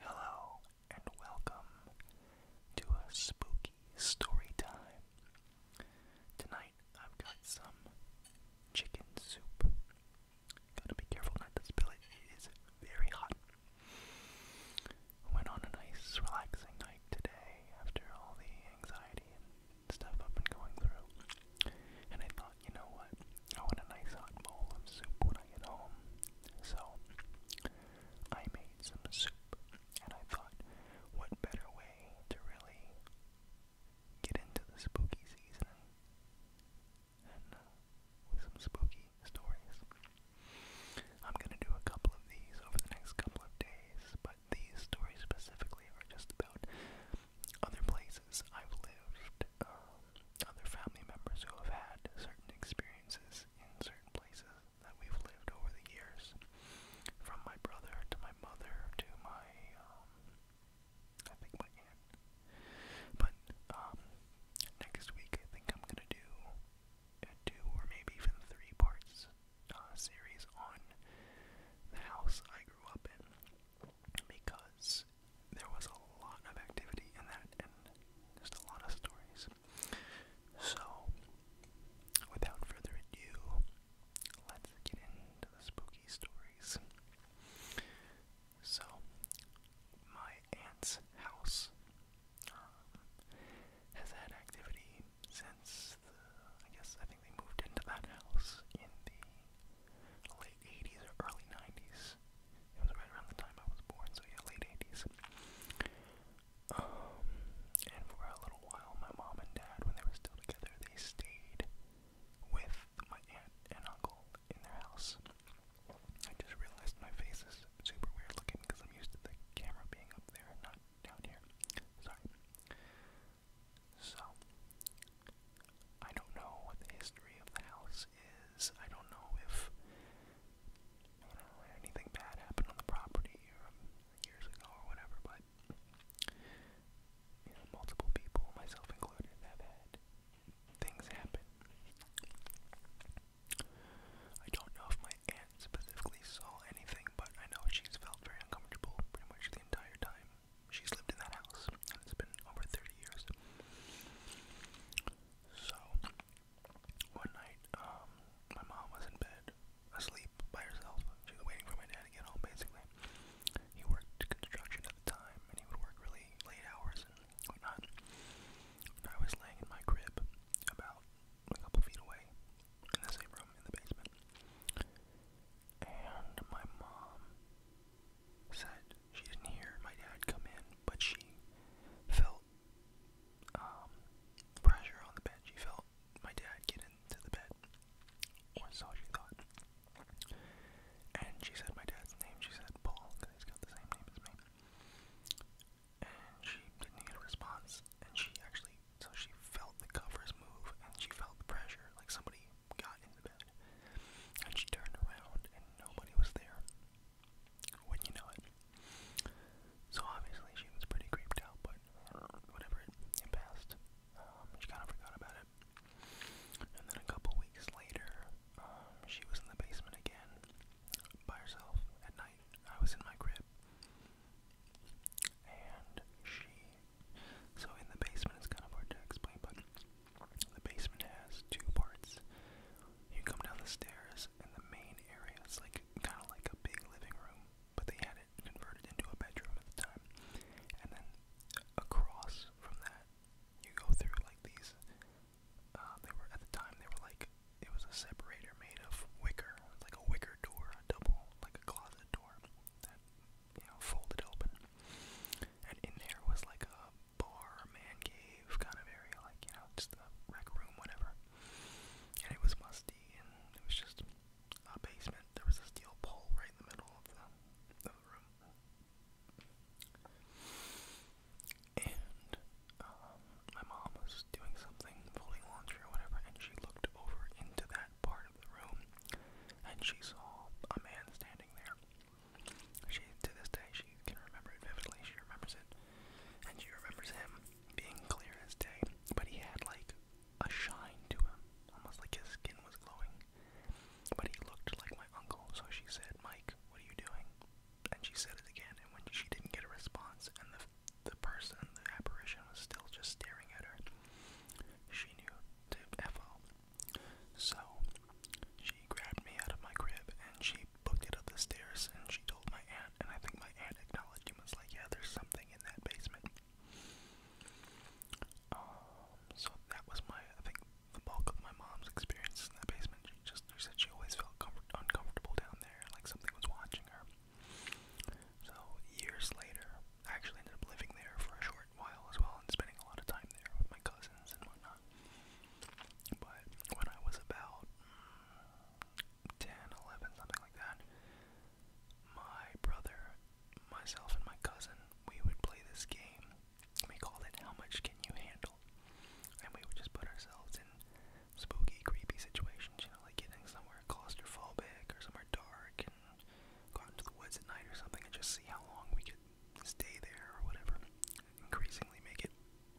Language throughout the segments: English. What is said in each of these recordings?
Hello and welcome to a spooky story time. Tonight I've got some chicken soup. Gotta be careful not to spill it, it is very hot. Went on a nice relaxing night today after all the anxiety stuff up and going through. And I thought, you know what? I want a nice hot bowl of soup when I get home. So I made some soup, and I thought, what better way to really get into the spooky season than uh, with some spooky stories? I'm gonna do a couple of these over the next couple of days, but these stories specifically are just about other places I've lived, um, other family members who have had certain experiences in certain places that we've lived over the years, from my brother to my mother to my, um, I think my aunt. But um, next week I think I'm gonna do a two or maybe even three parts uh, series on the house I grew up in because there was a lot of activity in that and just a lot of stories. So, without further ado, let's get into the spooky stories. So, my aunt's house um, has had activity since the, I guess, I think they moved into that house in the late 80s or early 90s. It was right around the time I was born, so yeah, late 80s. Um, and for a little while, my mom and dad, when they were still together, they stayed with my aunt and uncle in their house. I just realized my face is super weird looking because I'm used to the camera being up there not down here. Sorry. So, I don't know what the history of the house is. I don't know if anything bad happened on the property um, years ago or whatever, but multiple people, myself included, have had things happen. I don't know if my aunt specifically saw anything, but I know she's felt very uncomfortable pretty much the entire time she's lived in that house, and it's been over 30 years. So, one night, um, my mom was in bed, asleep by herself. She was waiting for my dad to get home, basically. He worked construction at the time, and he would work really late hours and whatnot. I was laying in my crib, about a couple feet away, in the same room, in the basement and my mom said she didn't hear my dad come in, but she felt um, pressure on the bed. She felt my dad get into the bed, or so she thought. And she said my dad's name. She said Paul, because he's got the same name as me. And she didn't get a response, and she actually, so she felt the covers move, and she felt the pressure, like somebody got in the bed. And she turned around and nobody was there. When you know it. So obviously she was pretty creeped out, but whatever, it, passed. Um, she kind of forgot about it. And then a couple weeks later, um, she was in the basement again by herself at night. I was in my crib. And she so in the basement, it's kind of hard to explain, but the basement has two parts. You come down the stairs, and the main area is like kind of like a big living room, but they had it converted into a bedroom at the time. And then across from that, you go through like these. Uh, they were at the time they were like it was a separator made of wicker, like a wicker door, a double like a closet door that you know, folded open. And in there was like a bar, man cave kind of area, like, you know, just a rec room, whatever. And it was musty, and it was just a basement. There was a steel pole right in the middle of the, of the room. And um, my mom was doing something, folding laundry or whatever, and she looked over into that that part of the room and she saw a man standing there. She, to this day, she can remember it vividly. She remembers it. And she remembers him being clear as day. But he had like a shine to him, almost like his skin was glowing. But he looked like my uncle, so she said, Mike, what are you doing? And she said it again, and when she didn't get a response, and the the person, the apparition, was still just staring at her. She knew to F off. So she grabbed me out of my crib and she booked it up the stairs and she told my aunt and I think my aunt acknowledged and was like, yeah, there's something in that basement. Um, so that was my, I think, the bulk of my mom's experiences in that basement. She just said she always felt uncomfortable down there, like something was watching her. So years later, I actually ended up living there for a short while as well and spending a lot of time there with my cousins and whatnot. But when I was about mm, 10, 11, something like that, my brother, myself, and my cousin, we would play this game. We called it How Much Can You Handle? And we would just put ourselves in spooky, creepy situations, you know, like getting somewhere claustrophobic or somewhere dark and go out into the woods at night or something and just see how long we could stay there or whatever. Increasingly make it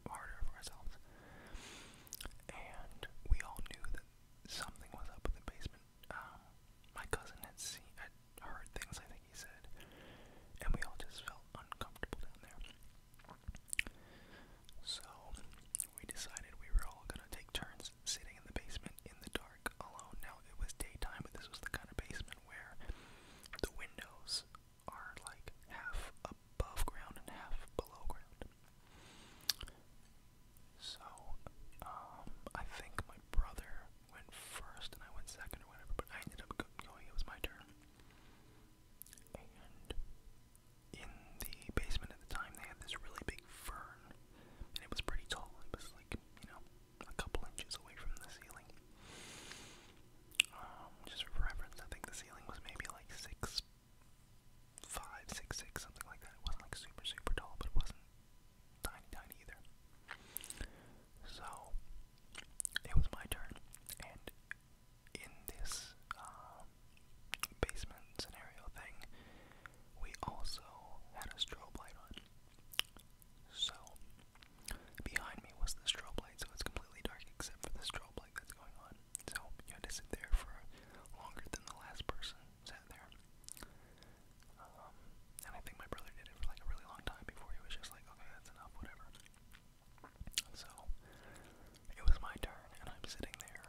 harder for ourselves. And we all knew that something was up with the basement. Um, my cousin had seen, had heard things, I think he said, and we all just felt uncomfortable down there. So we decided we were all gonna take turns sitting in the basement in the dark alone. Now it was daytime, but this was the kind of basement where the windows are like half above ground and half below ground. So, um, I think my brother went first and I went second or whatever, but I ended up going, it was my turn. And in the basement at the time, they had this really big fern and it was pretty tall. It was like, you know, a couple inches away from the ceiling. Um, just for reference, I think the ceiling was maybe like six, five, six, six, something like that. It wasn't like super, super tall, but it wasn't tiny, tiny either. So it was my turn, and in this um, basement scenario thing, we also had a strobe light on. So, behind me was the strobe light, so it's completely dark except for the strobe light that's going on. So, you had to sit there for longer than the last person sat there. Um, and I think my brother did it for like a really long time before he was just like, okay, that's enough, whatever. So, it was my turn, and I'm sitting there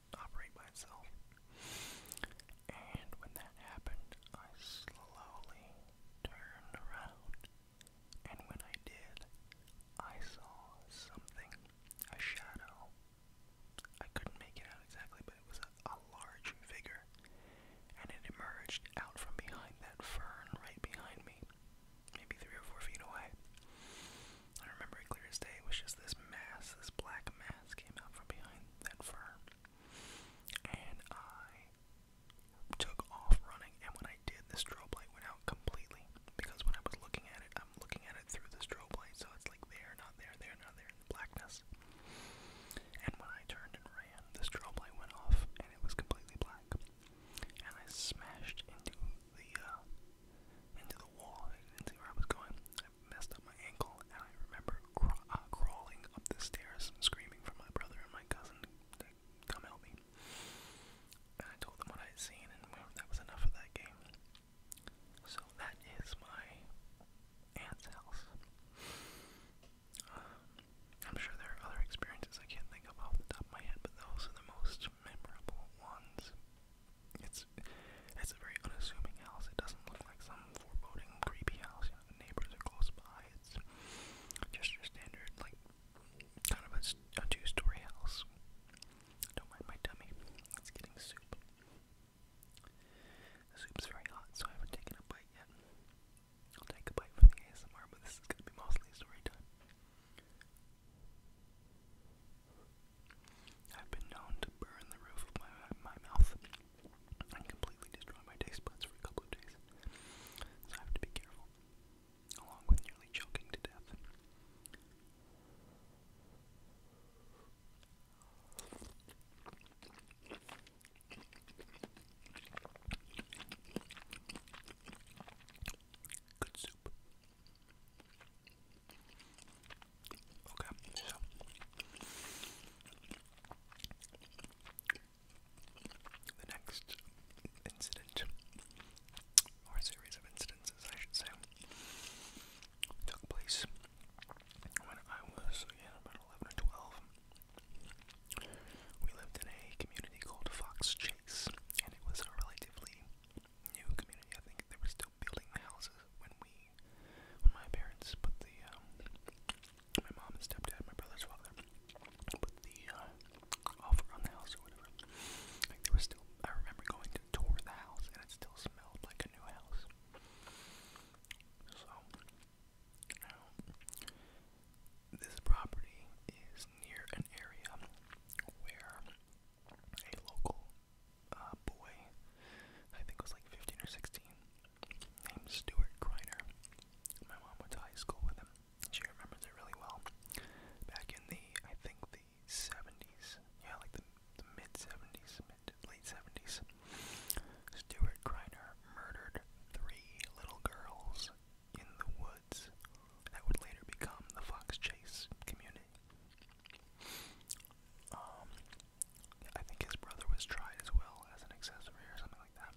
operate by And when that happened, I slowly turned around. And when I did, I saw something, a shadow. I couldn't make it out exactly, but it was a, a large figure. And it emerged out from behind that fern right behind me, maybe three or four feet away. I remember it clear as day. It was just this mass, this black mass came out from behind that fur. And I took off running. And when I did, the strobe light went out completely. Because when I was looking at it, I'm looking at it through the strobe light. So it's like there, not there, there, not there, in the blackness. And when I turned and ran, the strobe light went off and it was completely black. And I smashed into the uh, into the wall. I didn't see where I was going. I messed up my ankle, and I remember craw uh, crawling up the stairs, screaming for my brother and my cousin to come help me. And I told them what I had seen, and well, that was enough of that game. So that is my aunt's house. Um, I'm sure there are other experiences I can't think of off the top of my head, but those are the most memorable ones it's it's a very unassuming house. It doesn't look like some foreboding, creepy house. You know, the neighbors are close by. It's just your standard, like kind of a, a two-story house. Don't mind my tummy. It's getting soup. The soup's very hot, so I haven't taken a bite yet. I'll take a bite for the ASMR, but this is gonna be mostly story time. I've been known to burn the roof of my, my mouth and completely destroy my taste buds for a couple of days. So I have to be careful, along with nearly choking to death. Good soup. Okay, so the next incident, or series of incidences, I should say, took place when I was again about 11 or 12. We lived in a community called Fox Chase, and it was a relatively new community. I think they were still building the houses when we, when my parents put the, um, my mom and stepdad, my brother's father, put the uh, offer on the house or whatever. Like they were still. I remember going to tour the house and it still smelled like a new house. So, um, this property is near an area where a local uh, boy, I think was like 15 or 16, named Stuart Griner. My mom went to high school with him. She remembers it really well. Back in the, I think the 70s, yeah, like the, the mid 70s, mid late 70s, Stuart Griner murdered three little girls in the woods that would later become the Fox Chase community. Um, I think his brother was tried as well as an accessory or something like that,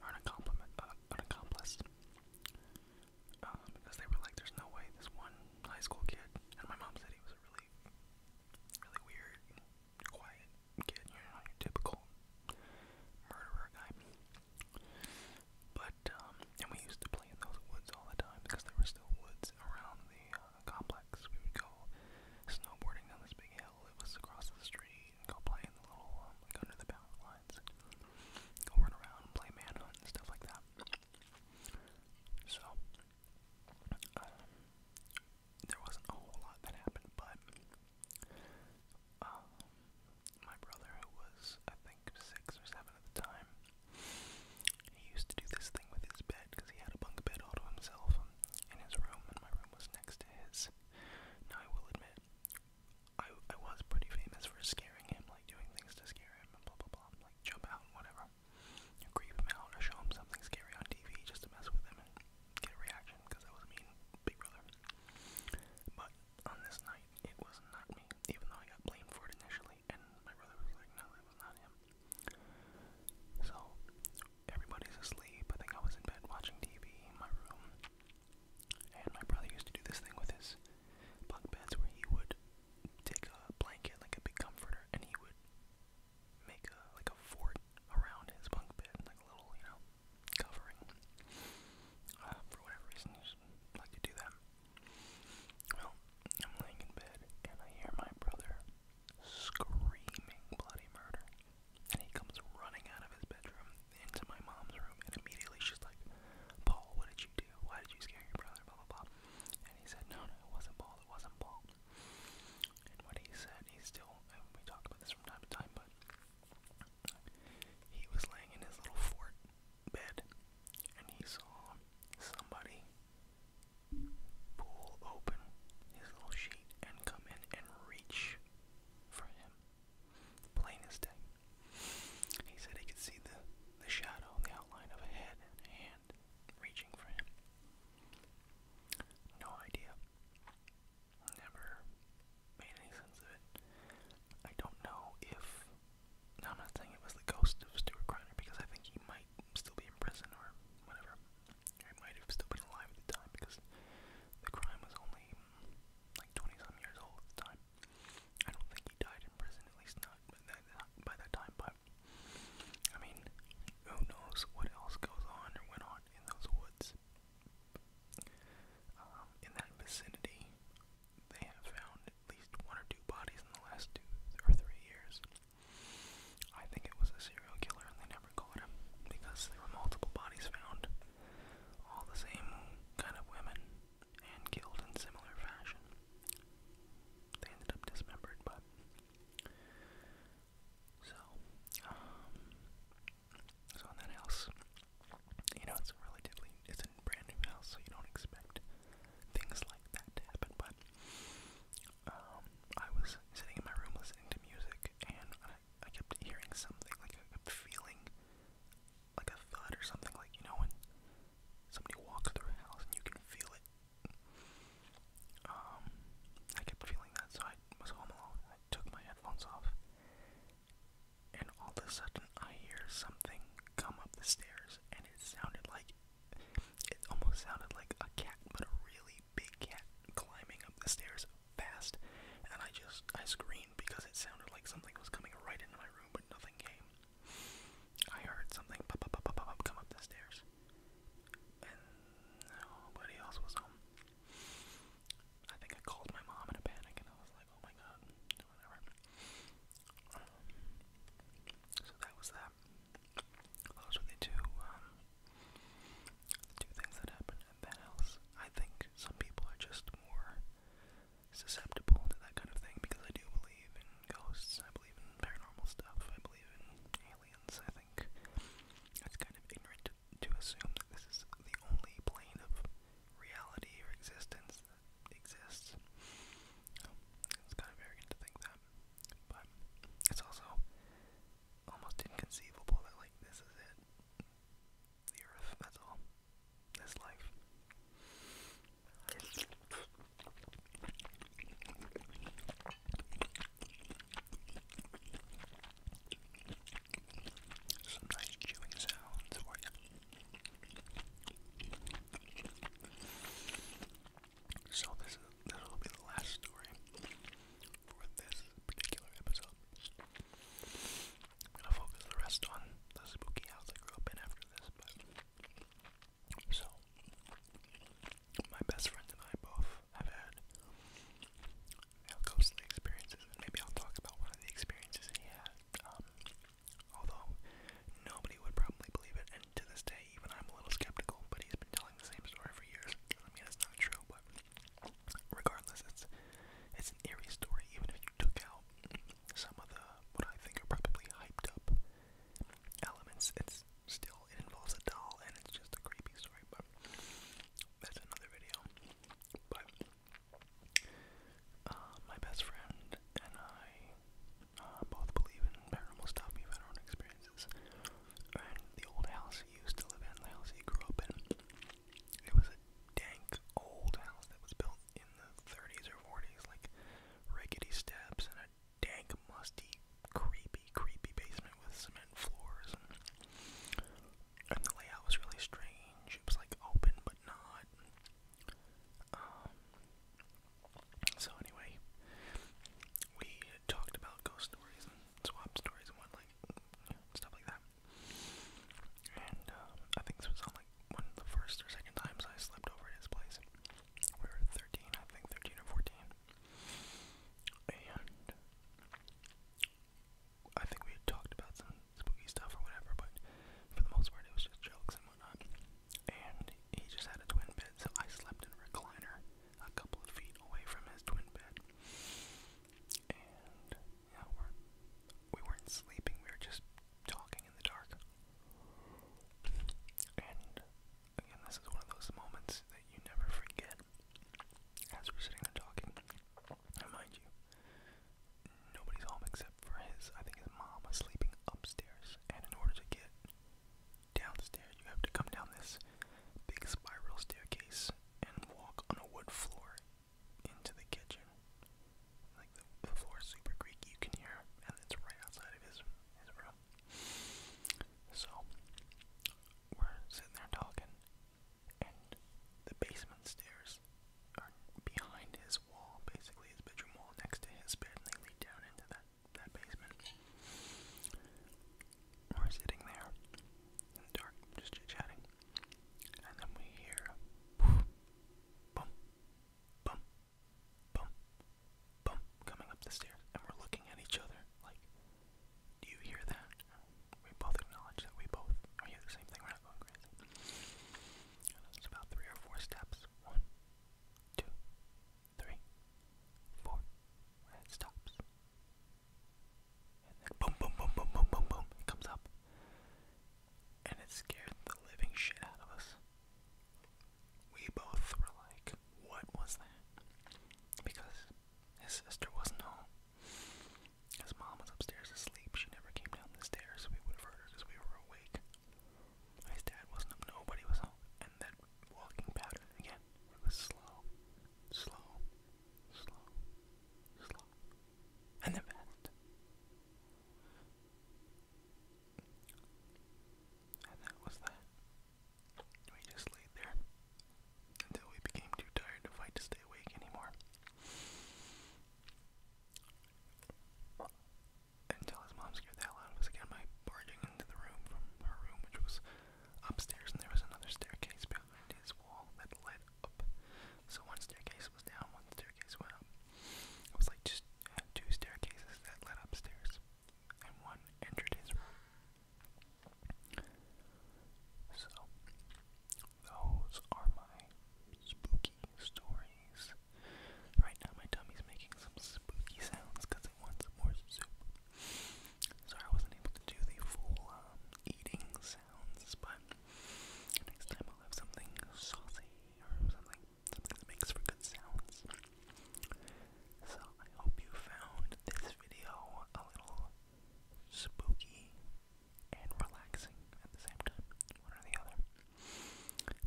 or an, uh, an accomplice. Um, because they were like, "There's no way this one high school kid," and my mom said he was a really, really weird, quiet kid, you know, your typical murderer guy. But, um, and we used to play in those woods all the time because there were still woods around the uh, complex. We would go snowboarding down this big hill. It was across the street and go play in the little, um, like under the power lines. Go run around and play manhunt and stuff like that. So, um, there wasn't a whole lot that happened, but um, my brother, who was, I think, six or seven at the time, he used to do this thing with his bed because he had a bunk bed all to himself in his room, and my room was next to his. Now, I will admit, I, I was pretty famous for scaring him, like doing things to scare him, and blah blah blah, like jump out and whatever. You creep him out or show him something scary on TV just to mess with him and get a reaction because I was a mean big brother. But on this night, it was not me, even though I got blamed for it initially, and my brother was like, no, that was not him. So, everybody's asleep. I think I was in bed watching TV in my room, and my brother used to do this thing with his bunk beds where he would take a blanket, like a big comforter, and he would make a, like a fort around his bunk bed, like a little, you know, covering. Uh, for whatever reason, like to do that. Well, I'm laying in bed and I hear my brother screaming bloody murder. And he comes running out of his bedroom into my mom's room and immediately she's like, Paul, what did you do? Why did you scare your brother? Blah blah blah. And he said, No, no, it wasn't Paul, it wasn't Paul. And what he said, he still and we talk about this from time to time, but he was laying in his little fort bed and he saw somebody pull open his little sheet and come in and reach for him. Plain as day. He said he could see the, the shadow, the outline of a head and hand reaching for him. No idea. Never made any sense of it. I don't know if. Now, I'm not saying it was the ghost of Stuart Kreiner because I think he might still be in prison or whatever. he might have still been alive at the time because the crime was only like 20 some years old at the time. I don't think he died in prison, at least not by that, time, but I mean, who knows what else goes on or went on in those woods. Um, in that vicinity they have found at least one or two bodies in the last two or three years. I think it was a serial killer and they never caught him because there were multiple bodies found. All the same kind of women and killed in similar fashion. They ended up dismembered, but. So, um, so in that house, you know, it's a relatively, it's a brand new house, so you don't expect things like that to happen, but um, I was sitting in my room listening to music, and I, I kept hearing something, like I kept feeling like a thud or something, like, you know, when somebody walks through a house and you can feel it. Um, I kept feeling that, so I was home alone, I I took my headphones off, and all of a sudden I hear something come up the stairs, and it sounded like it almost sounded like a cat, but a really big cat climbing up the stairs fast. And I just I screamed because it sounded like something was coming right into my room, but nothing came. I heard something pop, pop, pop, pop, pop, come up the stairs, and nobody else was home. I think I called my mom in a panic, and I was like, "Oh my god, whatever." so that was that. Those were the two, um, two things that happened at that house. I think some people are just more susceptible to that kind of thing because I do believe in ghosts. I believe in paranormal stuff. I believe in aliens. I think that's kind of ignorant to assume that this is the only plane of reality or existence that exists. Um, it's kind of arrogant to think that, but it's also almost inconceivable that, like, this is it. The earth, that's all. This life some nice chewing sounds you. So this is this will be the last story for this particular episode. I'm gonna focus the rest on the spooky house I grew up in after this, but so my best friend and I both have had I'll go to the experiences, and maybe I'll talk about one of the experiences he had. Um, although nobody would probably believe it, and to this day, even I'm a little skeptical. But he's been telling the same story for years. I mean, it's not true, but regardless, it's it's an eerie story. Even if you took out some of the what I think are probably hyped up elements, it's still it involves a doll, and it's just a creepy story. But that's another video. But uh, my best friend and I uh, both believe in paranormal stuff. We've had our own experiences. And the old house he used to live in, the house he grew up in, it was a dank old house that was built in the 30s or 40s, like rickety steps and a dank, musty, creepy, creepy basement with cement floors and and the layout was really strange. It was like open but not. Um, so anyway, we talked about ghost stories and swap stories and what like stuff like that. And uh, I think this was on like one of the first or second times I slept over at his place. We were 13, I think 13 or 14. And I think we had talked about some spooky stuff or whatever, but for the most part, it was just jokes and whatnot. And he just had a twin bed, so I slept in a recliner a couple of feet away from his twin bed. And yeah, we're, we weren't sleeping, we were just talking in the dark. And again, this is one of those moments that you never forget as we're sitting there talking mind you, nobody's home except for his, I think his mom is sleeping upstairs. And in order to get downstairs, you have to come down this big spiral staircase and walk on a wood floor into the kitchen. Like the floor is super creaky, you can hear, and it's right outside of his, his room. So, we're sitting there talking, and the basement stairs are behind his wall, basically his bedroom wall next to his bed, and they lead down into that that basement. We're sitting there dark, just chit chatting, and then we hear poof, boom, boom, boom, boom coming up the stairs, and we're looking at each other like, do you hear that? We both acknowledge that we both are hearing the same thing. We're not going crazy. It's about three or four steps. One, two, three, four. And it stops. And then boom, boom, boom, boom, boom, boom, boom. It comes up. And it scared the living shit out of us. We both were like, what was that? Because his sister wasn't home. His mom was upstairs asleep. She never came down the stairs, so we would have heard her because we were awake. His dad wasn't up, nobody was home. And that walking pattern again. It was slow, slow, slow, slow. And then fast. And that was that. We just laid there until we became too tired to fight to stay awake anymore. Until his mom scared the hell out of us again by barging into the room from her room, which was upstairs, and there was another staircase behind his wall that led up. So one staircase was down, one staircase went up. It was like just two staircases that led upstairs, and one entered his room. So, those are my spooky stories. Right now, my tummy's making some spooky sounds because it wants more soup. Sorry, I wasn't able to do the full um, eating sounds, but next time I'll have something saucy or something, something that makes for good sounds. So, I hope you found this video a little spooky and relaxing at the same time, one or the other.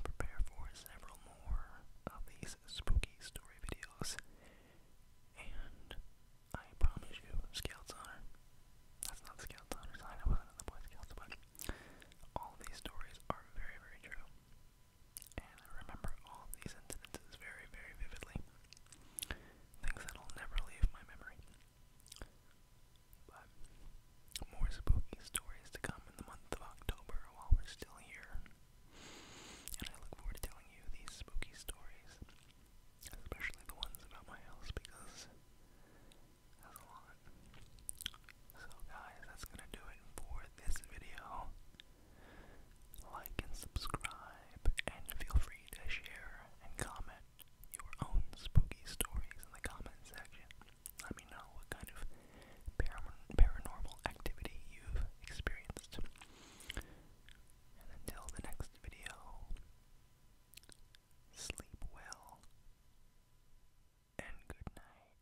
Prepare for several more of these spooky story videos, and I promise you, Scouts Honor, that's not Scouts I was in the Boy Scouts, but all these stories are very, very true. And I remember all these incidences very, very vividly. Things that'll never leave my memory. But more spooky stories to come in the month of October while we're still here. And I look forward to telling you these spooky stories, especially the ones about my house because that's a lot. So, guys, that's gonna do it for this video. Like and subscribe, and feel free to share and comment your own spooky stories in the comment section. Let me know what kind of paranormal activity you've experienced. And until the next video, sleep well and good night.